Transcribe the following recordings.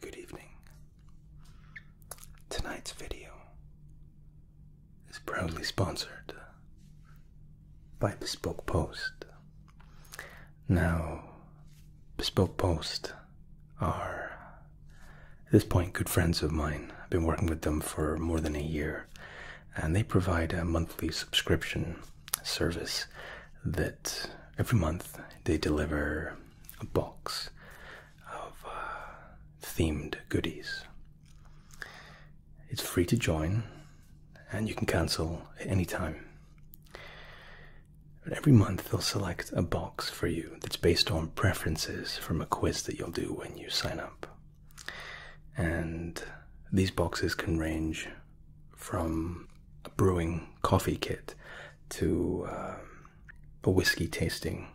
Good evening. Tonight's video is proudly sponsored by Bespoke Post. Now, Bespoke Post are, at this point, good friends of mine. I've been working with them for more than a year, and they provide a monthly subscription service that every month they deliver a box of uh, themed goodies. It's free to join and you can cancel at any time. But every month they'll select a box for you that's based on preferences from a quiz that you'll do when you sign up. And these boxes can range from a brewing coffee kit to um, a whiskey tasting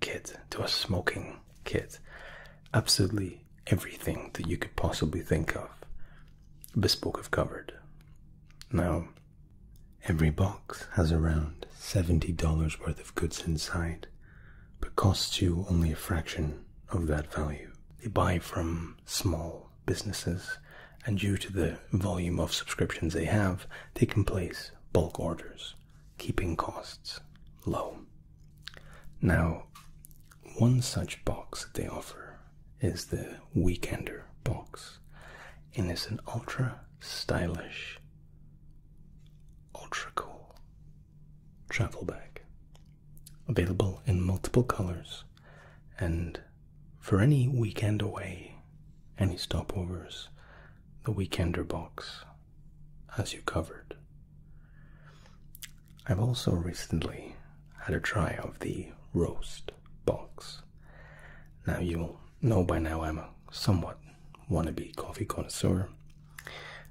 kit to a smoking kit. Absolutely everything that you could possibly think of, Bespoke have covered. Now, every box has around $70 worth of goods inside, but costs you only a fraction of that value. They buy from small businesses, and due to the volume of subscriptions they have, they can place bulk orders, keeping costs low. Now, one such box that they offer is the Weekender box, and it's an ultra stylish, ultra cool travel bag available in multiple colors and for any weekend away, any stopovers, the Weekender box as you covered. I've also recently had a try of the roast box. Now, you'll know by now I'm a somewhat wannabe coffee connoisseur.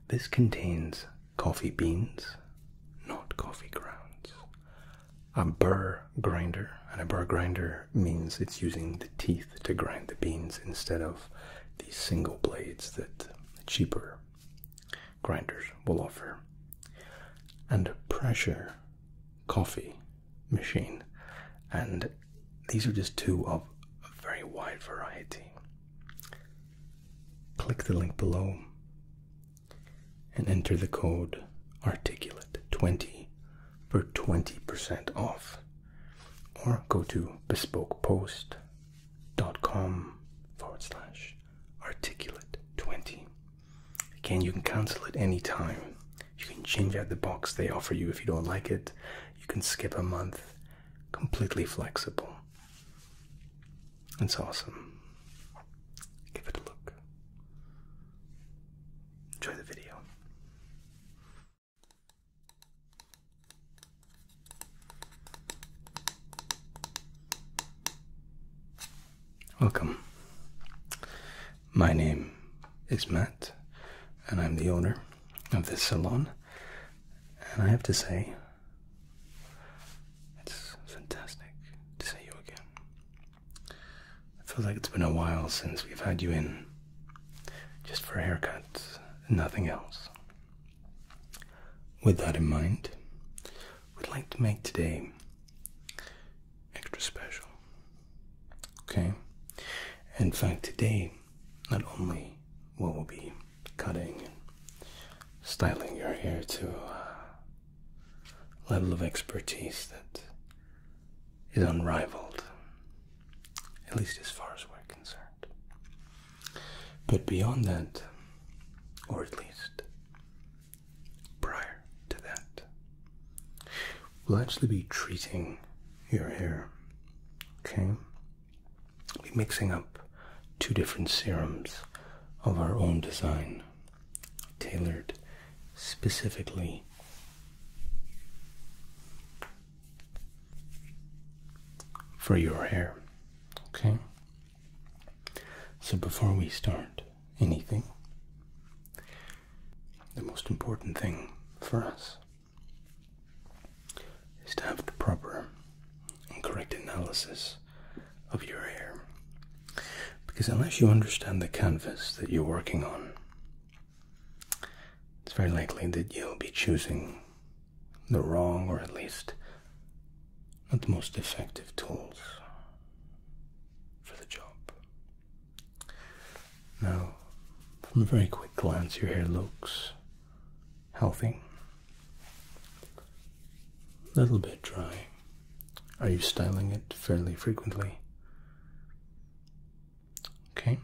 This contains coffee beans, not coffee grounds, a burr grinder. And a burr grinder means it's using the teeth to grind the beans instead of the single blades that cheaper grinders will offer. And a pressure coffee machine. And these are just two of a very wide variety. Click the link below and enter the code articulate 20 for 20% off or go to bespokepost.com forward slash articulate 20 again you can cancel at any time you can change out the box they offer you if you don't like it you can skip a month completely flexible it's awesome give it a look Enjoy the video. Welcome. My name is Matt, and I'm the owner of this salon. And I have to say, it's fantastic to see you again. I feel like it's been a while since we've had you in just for haircuts and nothing else. With that in mind, we'd like to make today extra special. Okay? In fact, today, not only will we be cutting and styling your hair to uh, level of expertise that is unrivaled, at least as far as we're concerned. But beyond that, or at least prior to that, we'll actually be treating your hair. Okay? We'll be mixing up two different serums of our own design tailored specifically for your hair. Okay? So before we start anything, the most important thing for us is to have the proper and correct analysis of your hair because unless you understand the canvas that you're working on, it's very likely that you'll be choosing the wrong or at least not the most effective tools for the job. Now, from a very quick glance, your hair looks healthy, a little bit dry. Are you styling it fairly frequently? Okay.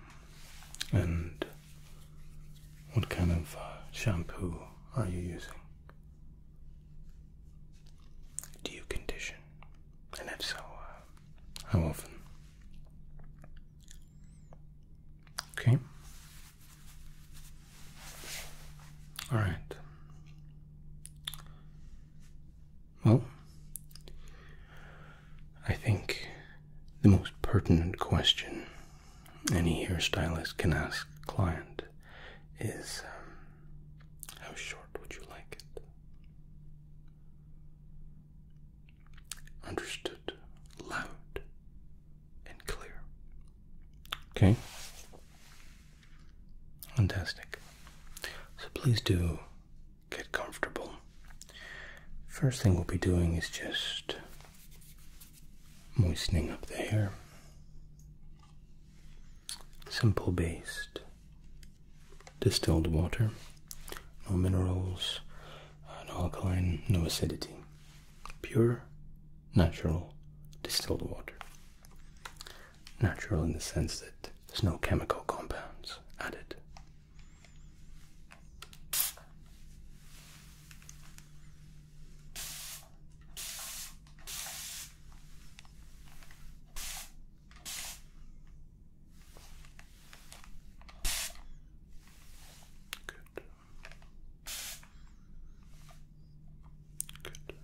And what kind of uh, shampoo are you using? Do you condition? And if so, uh, how often? Okay. All right. Well, I think the most pertinent question any hairstylist can ask a client is um, how short would you like it? Understood loud and clear. Okay. Fantastic. So please do get comfortable. First thing we'll be doing is just moistening up the hair. Simple based distilled water, no minerals, uh, no alkaline, no acidity. Pure, natural distilled water natural in the sense that there's no chemical compounds added. Good. Good.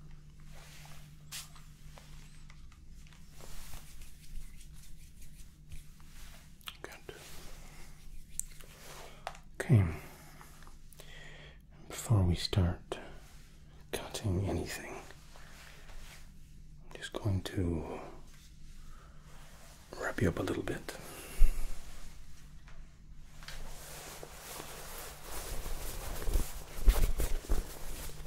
Good. Okay. Before we start cutting anything, I'm just going to wrap you up a little bit a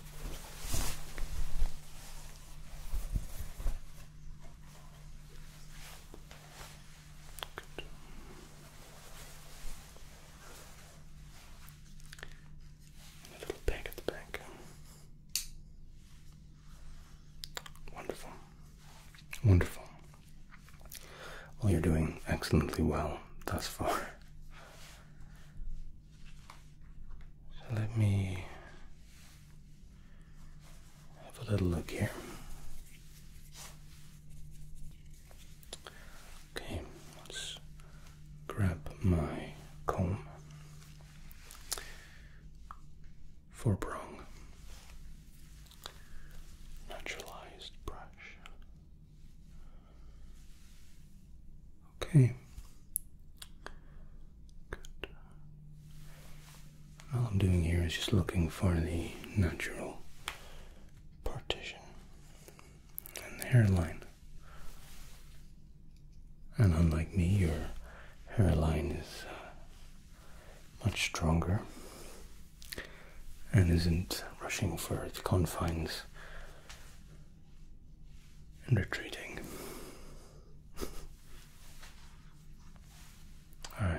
little peg at the back. Wonderful. Wonderful. Well, you're doing excellently well thus far. So let me have a little look here. Okay, let's grab my comb. for prong naturalized brush. Okay. All I'm doing here is just looking for the natural partition and the hairline. And unlike me, your hairline is uh, much stronger and isn't rushing for its confines and retreating. Alright.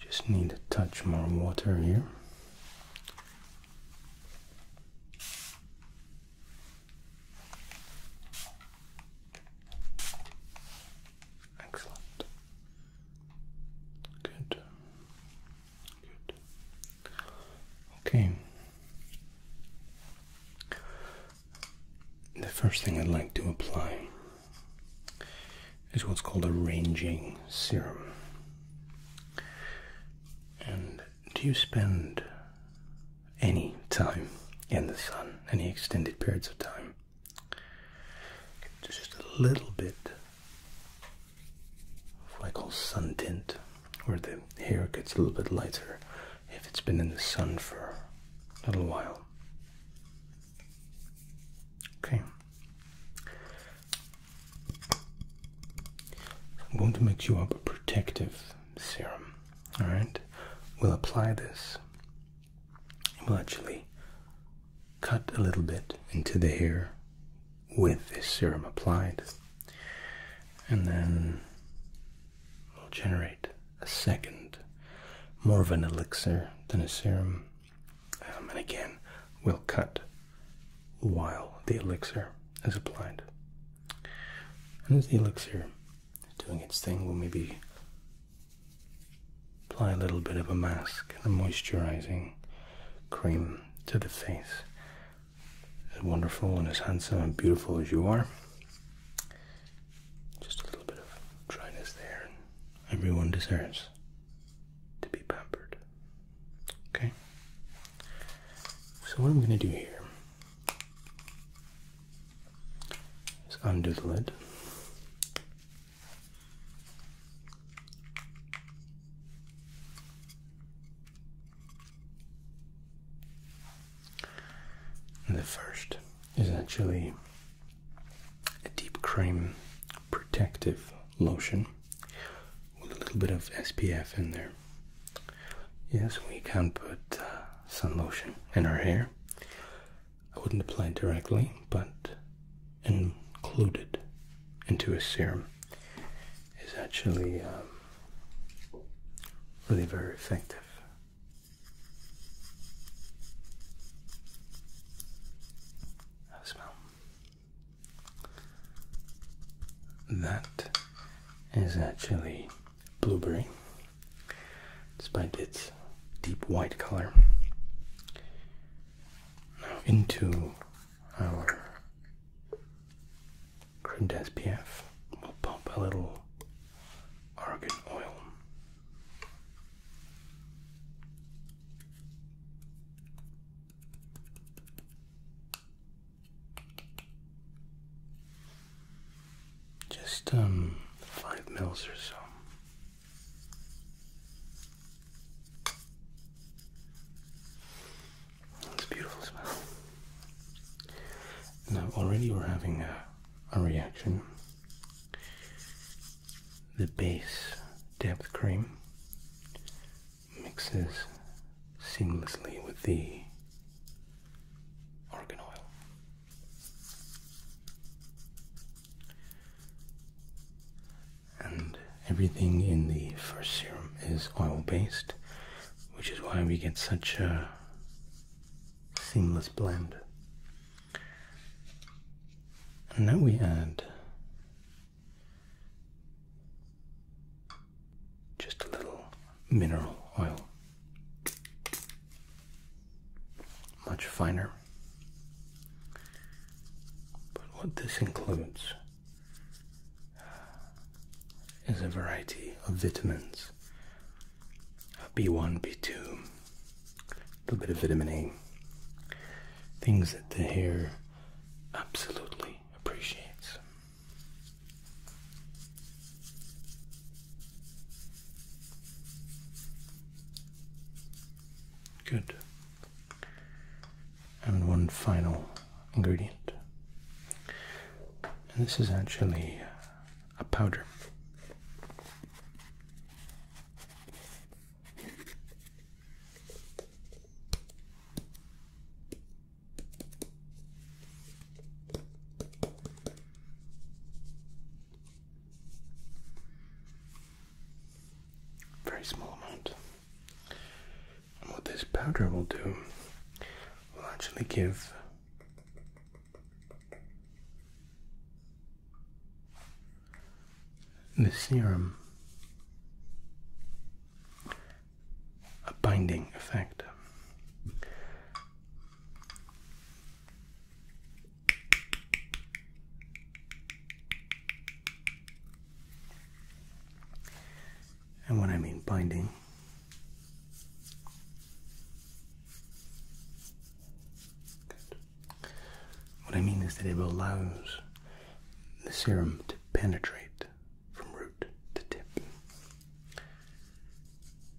Just need a touch more water here. Excellent. Good. Okay. The first thing I'd like to apply is what's called a ranging serum. And do you spend any time in the sun, any extended periods of time? Just a little bit what I call sun tint, where the hair gets a little bit lighter if it's been in the sun for a little while. Okay. I'm going to mix you up a protective serum. Alright? We'll apply this. we will actually cut a little bit into the hair with this serum applied. And then we'll generate a second, more of an elixir than a serum. Um, and again, we'll cut while the elixir is applied. And as the elixir is doing its thing, we'll maybe apply a little bit of a mask and a moisturizing cream to the face. As wonderful and as handsome and beautiful as you are, just a little bit of dryness there, everyone deserves to be pampered. Okay? So, what I'm going to do here is undo the lid the first is actually a deep cream protective lotion with a little bit of SPF in there. Yes, we can put uh, sun lotion in our hair. I wouldn't apply it directly, but included into a serum is actually um, really very effective. Have smell. That is actually blueberry, despite its deep white color. Now, into our Crindes SPF. we'll pop a little argan oil. Just um five mils or so. It's a beautiful smell. Now, already we're having a, reaction. The base depth cream mixes seamlessly with the argan oil and everything in the first serum is oil based, which is why we get such a seamless blend. And now we add just a little mineral oil, much finer. But what this includes is a variety of vitamins B1, B2, a little bit of vitamin A, things that the hair absolutely appreciates. Good and one final ingredient. And this is actually a powder. Very small amount what this powder will do will actually give the serum a binding effect. And when I mean binding, What I mean is that it allows the serum to penetrate from root to tip.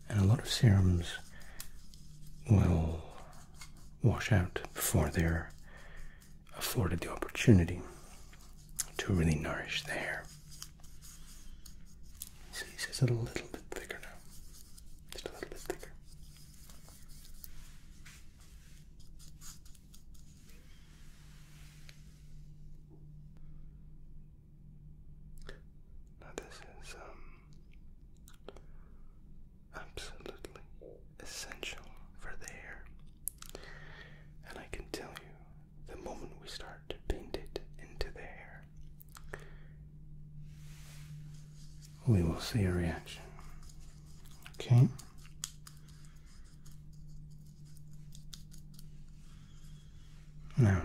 And a lot of serums will wash out before they're afforded the opportunity to really nourish the hair. So he says a little bit thicker now. Just a little bit thicker. Now this is um, absolutely essential for the hair. And I can tell you, the moment we start to paint it into the hair, we will see a reaction. Okay? Now,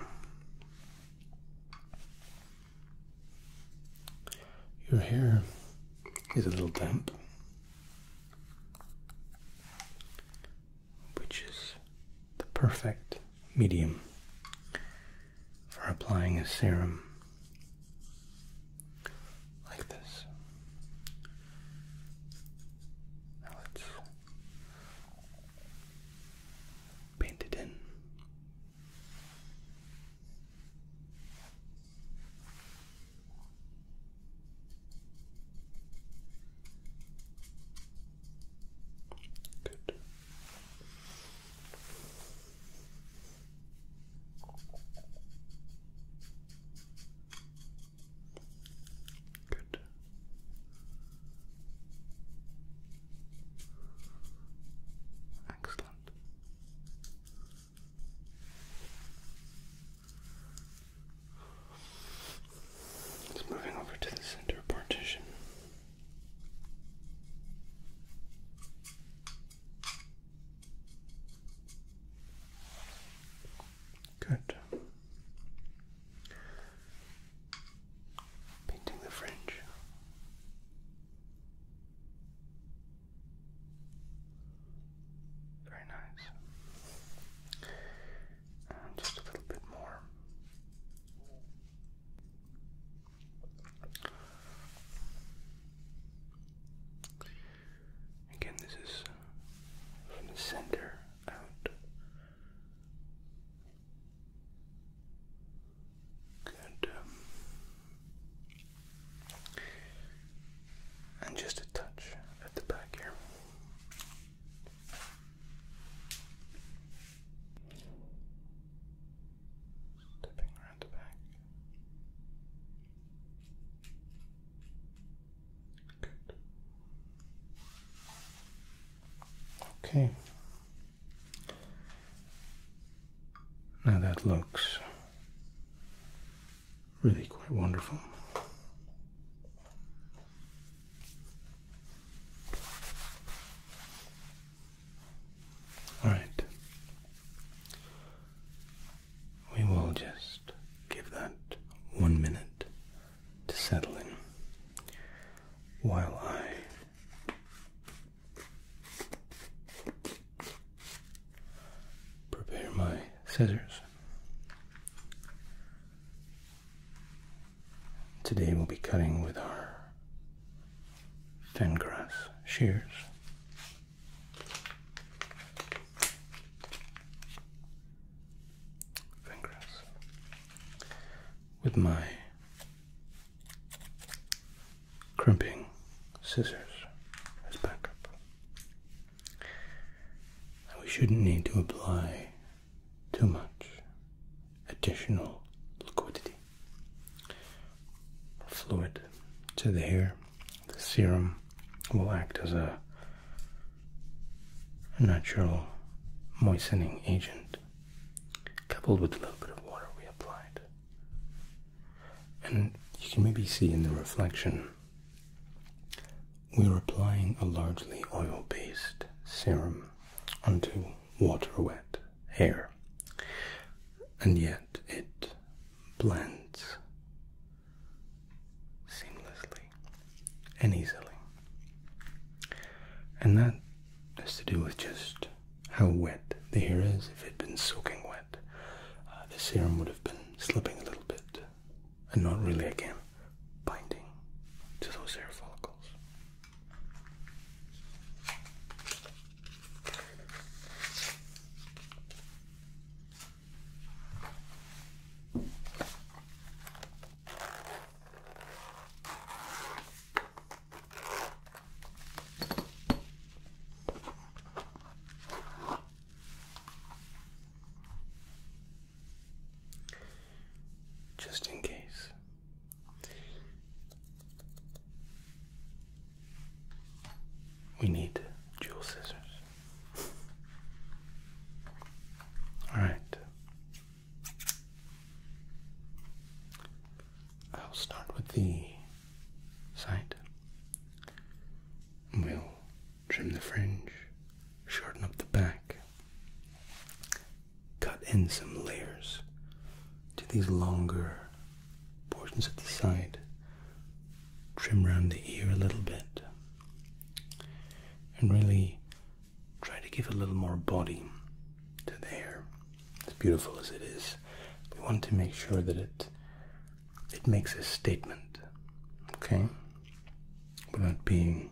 your hair is a little damp which is the perfect medium for applying a serum like this. Now let's paint it in. Good. Good. Excellent. It's moving over to the center partition. Good. Painting the fringe. Very nice. Uh, just a little bit more. Again, this is from the center out. Good. Um, and just a touch at the back here. Stepping around the back. Good. Okay. Now that looks really quite wonderful. All right. We will just give that one minute to settle in while I prepare my scissors. Today we'll be cutting with our grass shears. Fengrass. With my crimping scissors as backup. And we shouldn't need to apply too much additional liquidity or fluid to the hair. The serum will act as a natural moistening agent coupled with a little bit of water we applied. And you can maybe see in the reflection we're applying a largely oil-based serum onto water-wet hair, and yet it blends seamlessly and easily. And that has to do with just how wet the hair is. If it has been soaking wet, uh, the serum would have been slipping a little bit and not really, again, binding to those hair follicles. Just in case. We need jewel scissors. All right. I'll start with the side. We'll trim the fringe, shorten up the back, cut in some layers to these longer portions at the side, trim around the ear a little bit, and really try to give a little more body to the hair. As beautiful as it is, we want to make sure that it it makes a statement, okay, without being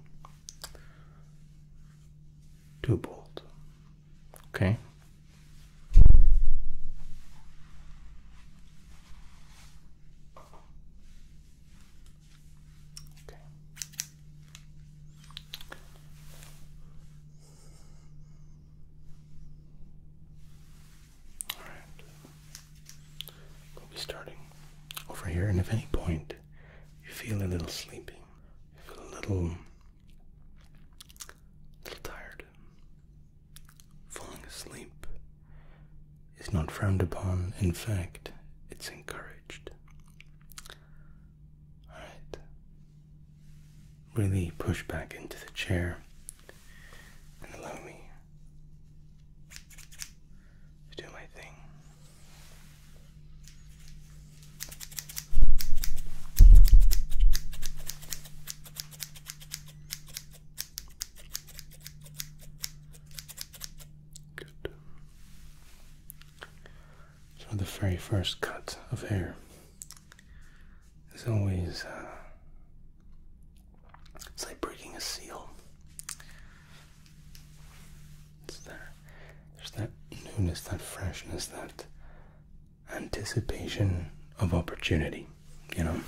too bold, okay. Alright. We'll be starting over here, and if any point you feel a little sleepy, you feel a little, little tired, falling asleep is not frowned upon. In fact, it's encouraged. Alright. Really push back into the chair and allow me to do my thing. Good. So the very first cut of hair As always uh, it's like breaking a seal. It's there. There's that newness, that freshness, that anticipation of opportunity, you know?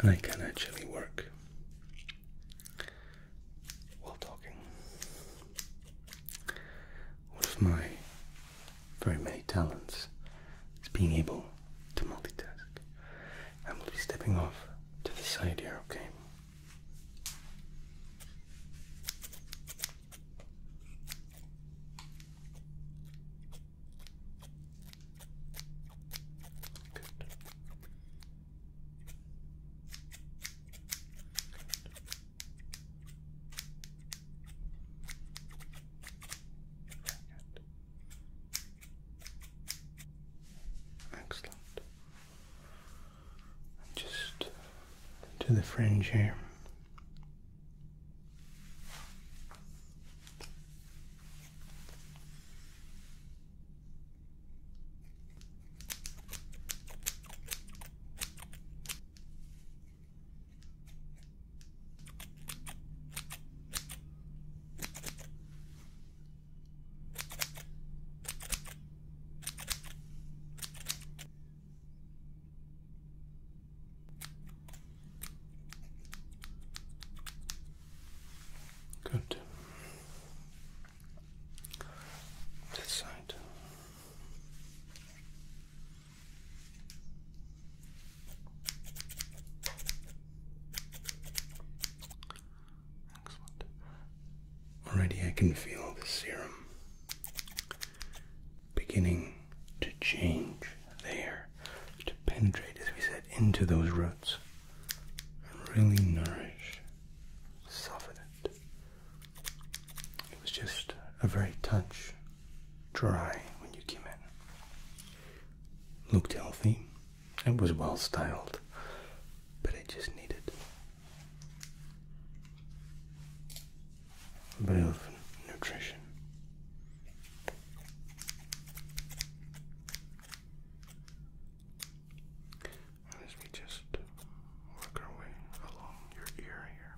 And I can actually work while talking. One of my very many talents is being able to multitask. and we will be stepping off to the side here, okay? Excellent. Just to the fringe here. Good. This side. Already I can feel the serum beginning to change there, to penetrate, as we said, into those roots and really nourish, soften it. It was just a very touch dry when you came in. Looked healthy and was well styled, but it just needed a bit of nutrition. As we just work our way along your ear here.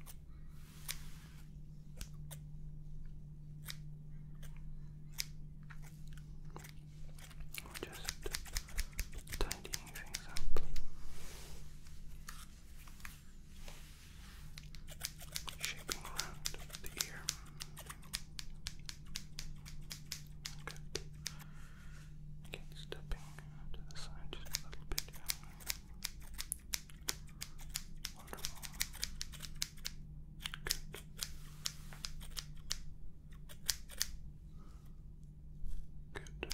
just tidying things up. Shaping around the ear. Good. Okay, stepping to the side just a little bit. Wonderful. Good. Good.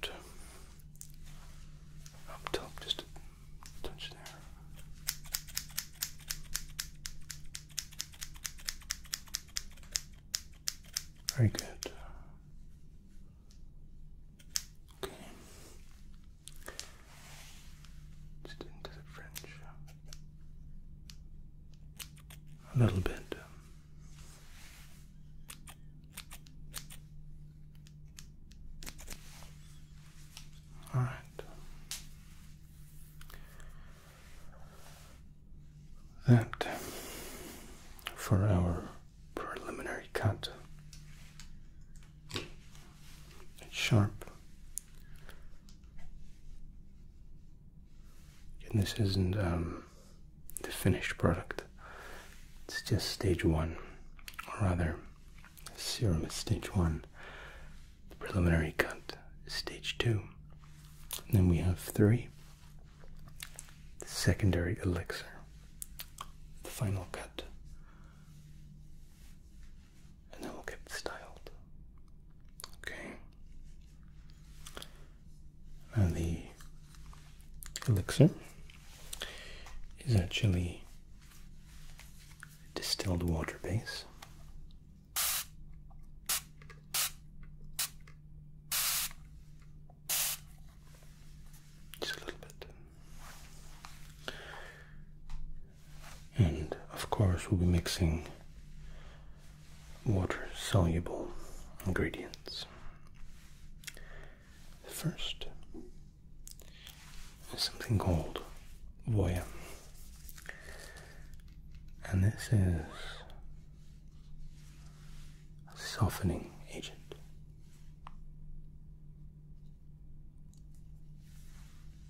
Good. Up top, just a touch there. Very good. Okay. Just into the fringe. A little bit. All right that for our preliminary cut. It's sharp. And this isn't um, the finished product. It's just stage one, or rather, serum stage one. preliminary cut stage two. then we have three the secondary elixir, the final cut, and then we'll get styled. Okay. Now the elixir is actually distilled water base. Just a little bit. And of course, we'll be mixing water soluble ingredients. First there's something called Voya. And this is a softening agent.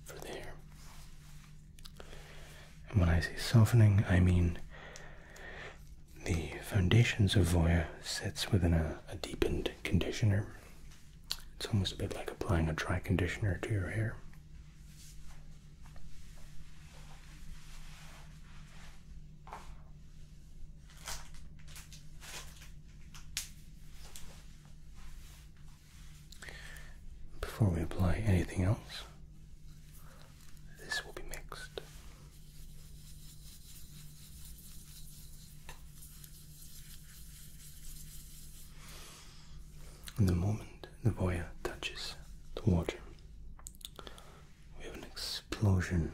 For the hair. And when I say softening, I mean the foundations of Voya sets within a deepened conditioner. It's almost a bit like applying a dry conditioner to your hair. Before we apply anything else, this will be mixed. In the moment the voyeur touches the water, we have an explosion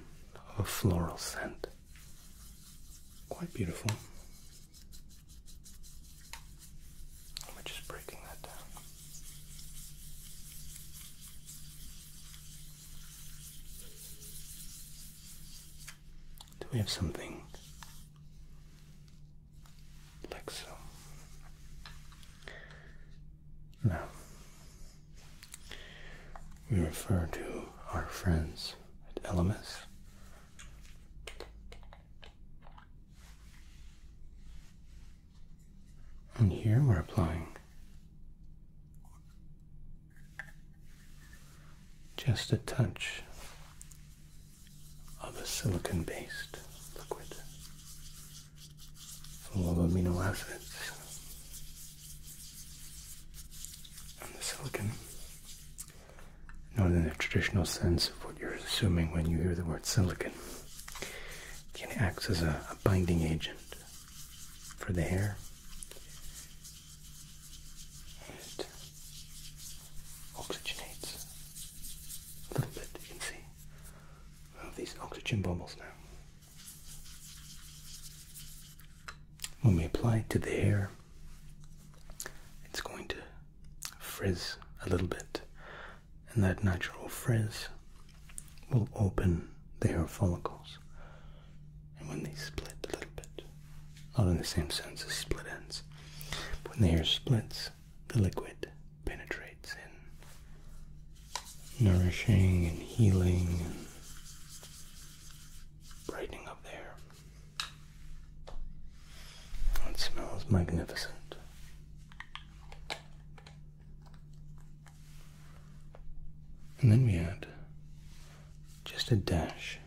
of a floral scent. Quite beautiful. We're just breaking that down. Do we have something like so? Now, we refer to our friends at Elemis and here we're applying just a touch of a silicon based liquid full of amino acids and the silicon. Not in the traditional sense of what you're assuming when you hear the word silicon. can act as a, binding agent for the hair. It oxygenates a little bit, you can see these oxygen bubbles now. When we apply it to the hair, it's going to frizz a little bit, and that natural frizz will open the hair follicles. And when they split a little bit, all in the same sense as split ends, but when the hair splits, the liquid penetrates and nourishing and healing and brightening up there. Oh, it smells magnificent. And then we add just a dash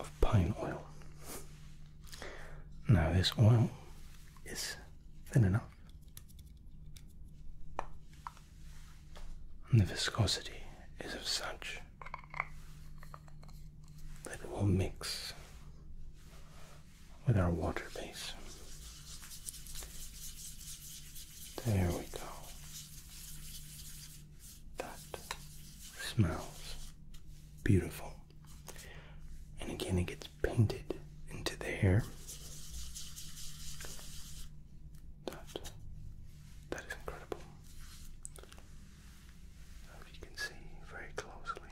of pine oil. Now, this oil is thin enough, and the viscosity is of such that it will mix with our water base. There we go. That smells beautiful. And again, it gets painted into the hair. That, that is incredible. If you can see very closely,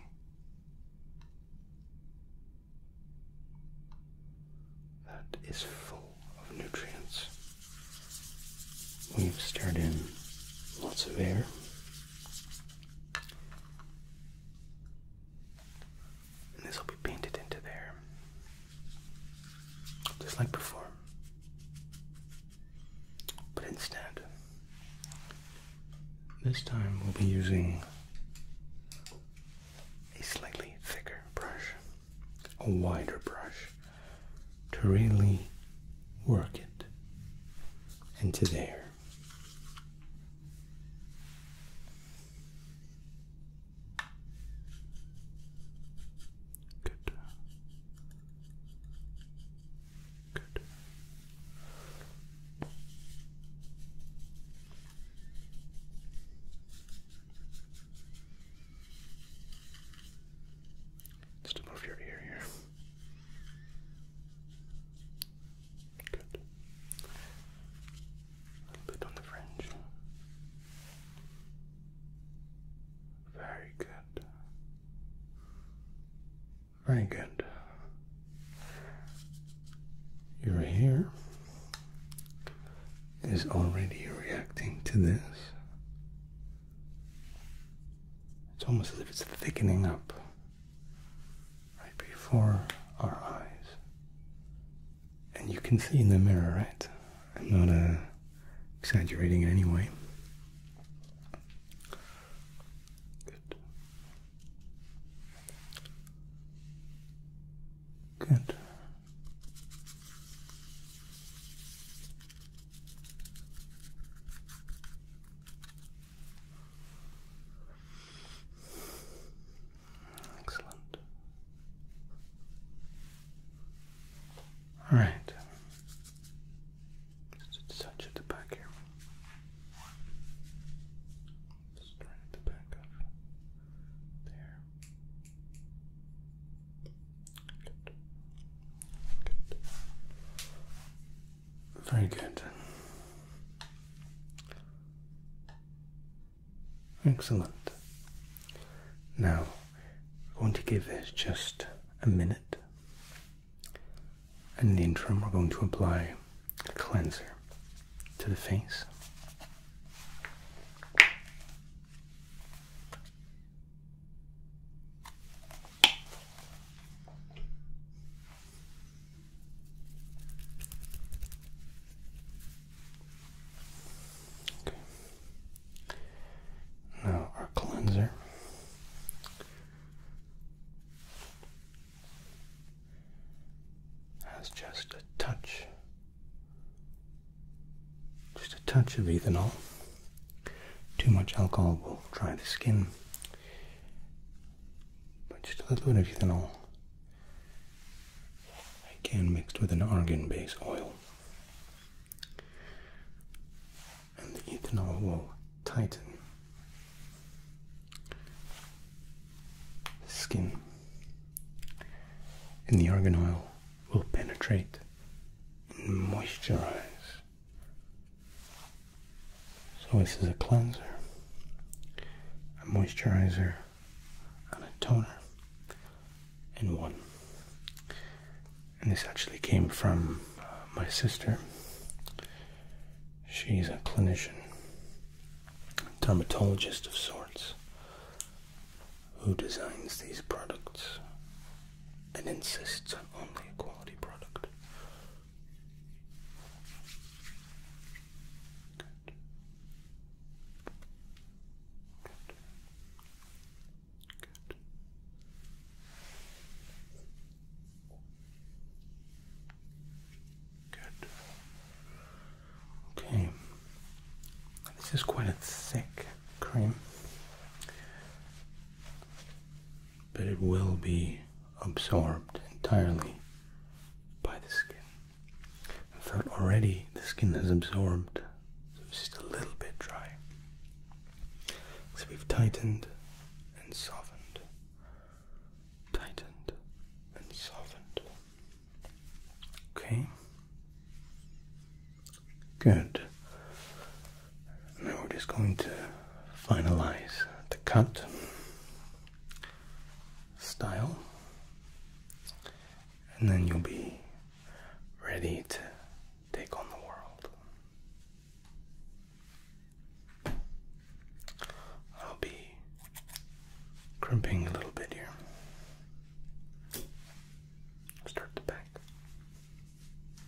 that is full of nutrients. We've stirred in lots of air this will be painted into there, just like before. But instead, this time we'll be using a slightly thicker brush, a wider brush, to really work it into there here. Good. Good. Just to move your ear here. Good. A bit on the fringe. Very good. Very good. Your hair is already reacting to this. It's almost as if it's thickening up right before our eyes. And you can see in the mirror, right? I'm not uh, exaggerating in any way. Good. Good. Excellent. All right. Just touch at the back here. Just right at the back of there. Good. Good. Very good. Excellent. Now, I'm going to give this just a minute. And in the interim, we're going to apply a cleanser to the face. Now our cleanser. Has just a touch, just a touch of ethanol. Too much alcohol will dry the skin, but just a little bit of ethanol again mixed with an argan base oil and the ethanol will tighten the skin and the argan oil will penetrate and moisturize so this is a cleanser, a moisturizer, and a toner in one. And this actually came from uh, my sister. She's a clinician, a dermatologist of sorts, who designs these products and insists on only a quality product. Good. Good. Good. Good. Okay. This is quite a thick cream but it will be absorbed entirely by the skin. In fact, already the skin has absorbed, so it's just a little bit dry. So we've tightened and softened, tightened and softened. Okay? Good now we're just going to finalize the cut style, and then you'll be ready to take on the world. I'll be crimping a little bit here. Start the back.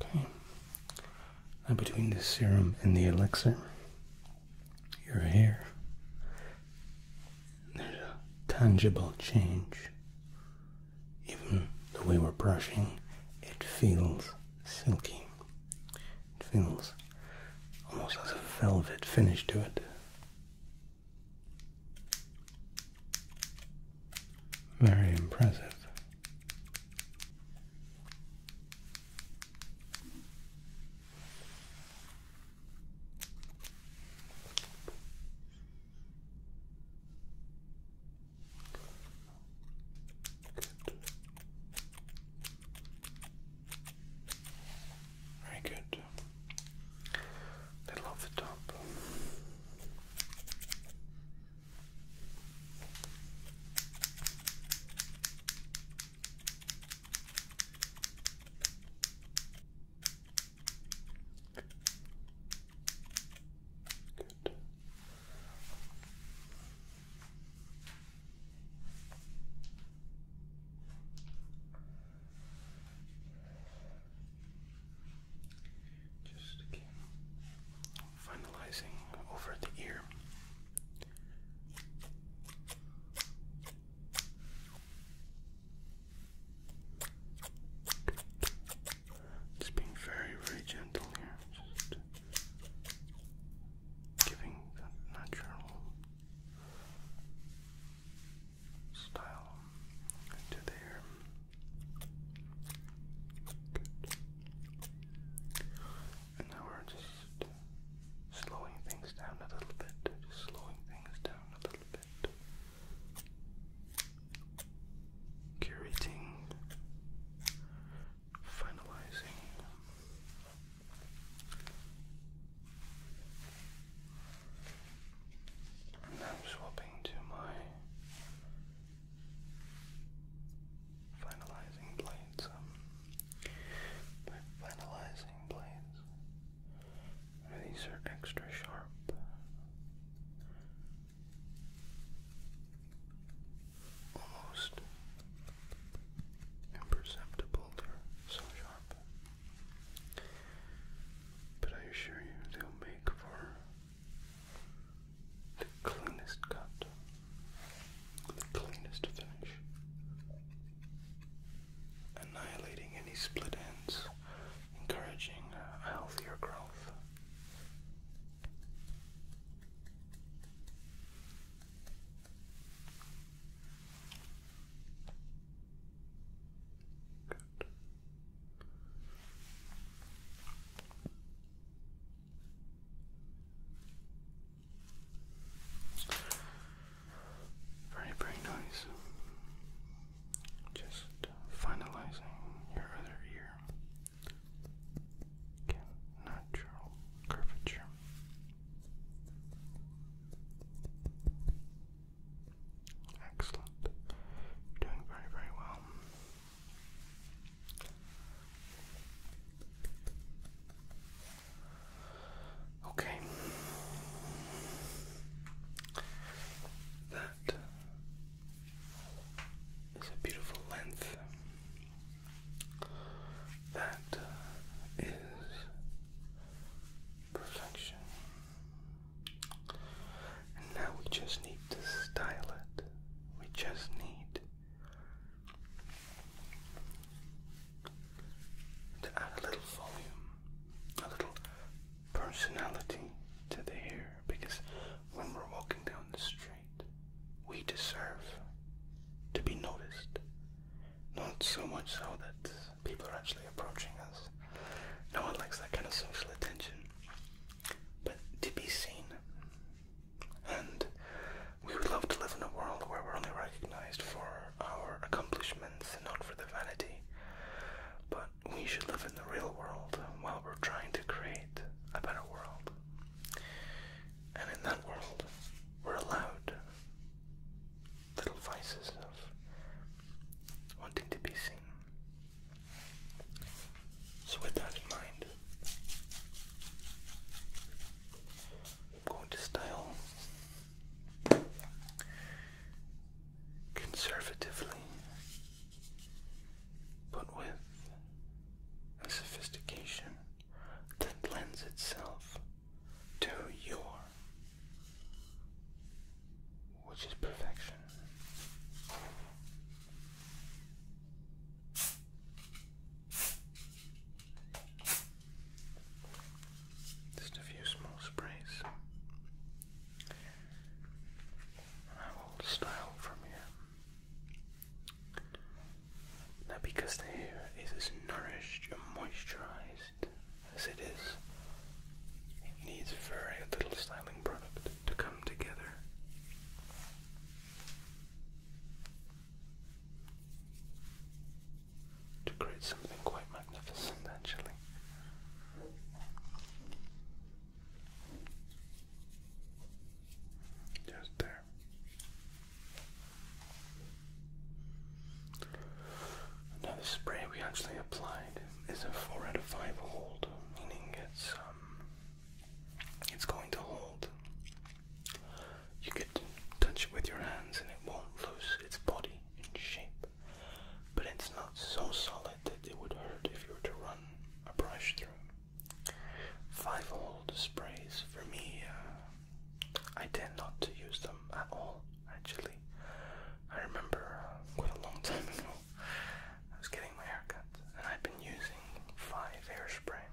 Very good. Okay. between the serum and the elixir, your hair, there's a tangible change even the way we're brushing, it feels silky. It feels almost has a velvet finish to it. Very impressive. Very good. Little off the top. Good. Just finalizing over the ear. Just being very, very gentle here. Just giving that natural style to there. Good. And now we're just slowing things down a little bit. Just slowing things down a little bit bit. Curating, finalizing. And swapping to my finalizing blades. Um, finalizing blades, these are extra sharp. Almost imperceptible, they're so sharp. But I assure you, they'll make for the cleanest cut, the cleanest finish, annihilating any split ends encouraging uh, healthier growth. Very, very nice just finalizing your other ear. Again, natural curvature. Excellent. You're doing very, very well. Okay. That it's a beautiful length that uh, is perfection. now we just need to style it. We just need to add a little volume, a little personality to the hair because when we're walking down the street, we deserve to be noticed. Not so much so that people are actually approaching us. No one likes that kind of social attention. But to be seen. And we would love to live in a world where we're only recognized for our accomplishments and not for the vanity. But we should live in the real world while we're trying to create a better world. And in that world, we're allowed little vices of wanting to be seen. So, with that in mind, I'm going to style conservatively, but with a sophistication that lends itself to your, which is perfection. Just a few small sprays. I will style from here. Now, because the hair is as nourished and moisturized as it is, it needs very little styling product to come together. To create something quite magnificent, actually. Just there. Now, spray we actually applied is a 4 out of 5 hold, meaning it's, um, it's going to hold. You could touch it with your hands and it won't lose its body and shape, but it's not so solid that it would hurt if you were to run a brush through. Five old sprays for me, uh, I tend not to use them at all actually. I remember uh, quite a long time ago I was getting my hair cut and I'd been using five hairspray.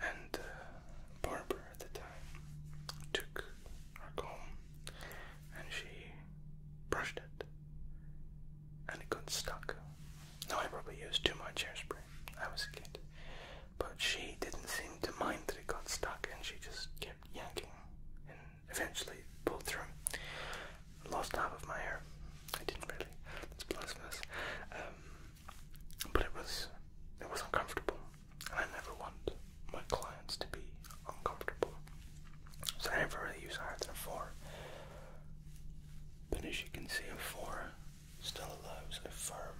And uh, Barbara at the time took her comb and she brushed it, and it got stuck. No, I probably used too much hairspray. I was a kid. But she didn't seem to mind that it got stuck, and she just kept yanking and eventually pulled through. Lost half of my hair. I didn't really. It's blasphemous. Um, but it was it was uncomfortable, and I never want my clients to be uncomfortable. So I never really use higher than a four. But as you can see, a four still allows a firm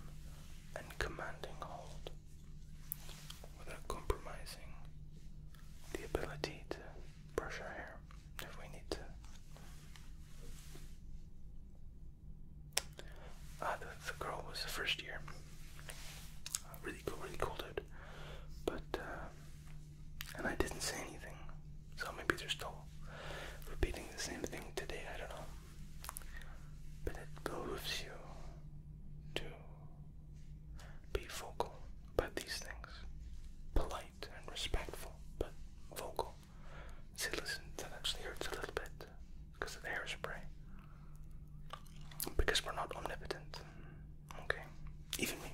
and commanding hold without compromising the ability to brush our hair if we need to. Ah, the, girl was the first year really really cool But uh, and I didn't say anything, so maybe they're still repeating the same thing today. I don't know. But it moves you to be vocal about these things, polite and respectful, but vocal. See, listen, that actually hurts a little bit because of the hairspray. Because we're not omnipotent. Okay? Even me.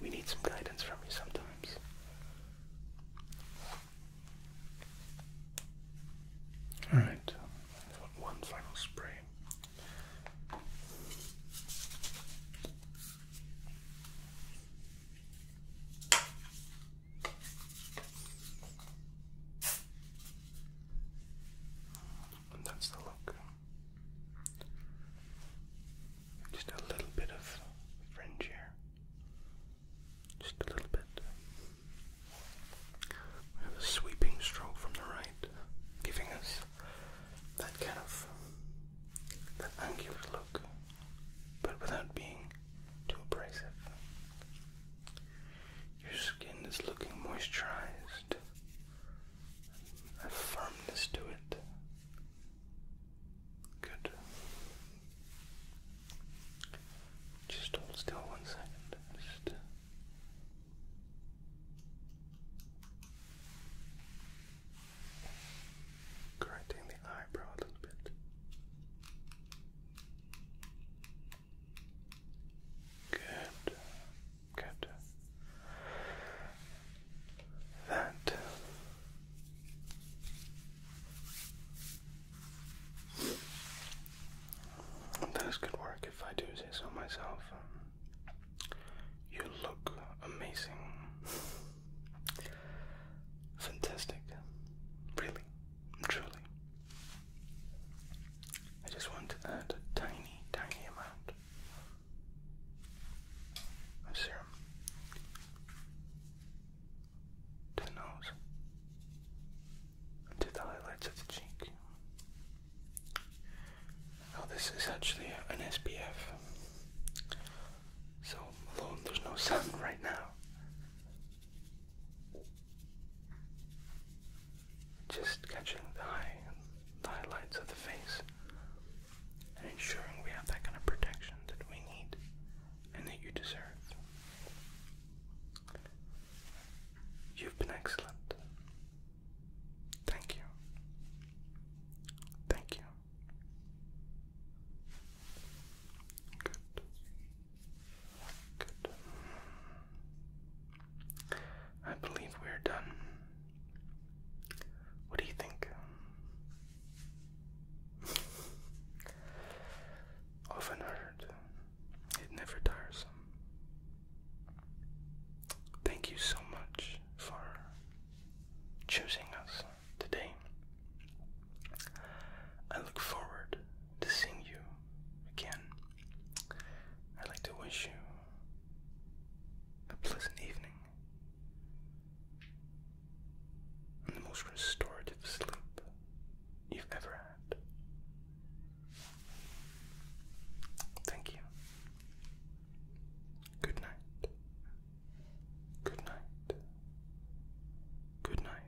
We need some guidance from you sometimes. Alright, one final spray. And that's the look. Just a little bit of fringe here. Just a little bit. We have a sweeping stroke from the right, giving us that kind of that angular look, but without being too abrasive. Your skin is looking moisturized a firmness to it. Good. Just hold still one second. Just uh, correcting the eyebrow a little bit. Good. Good. That that is good work, if I do say so myself. You look amazing. Fantastic. Really. Truly. I just want to add a tiny, tiny amount of serum to the nose to the highlights of the cheek. Now this is actually an SPF. So although there's no sun right now just catching the, high, the highlights of the face and ensuring we have that kind of protection that we need and that you deserve. You've been excellent. Thank you. Thank you. Good. Good. I believe we're done. What do you think? Often heard, it never tires. Thank you so much for choosing us today. I look forward to seeing you again. I'd like to wish you a pleasant evening, and the most restorative sleep you've ever had. Thank you. Good night. Good night. Good night.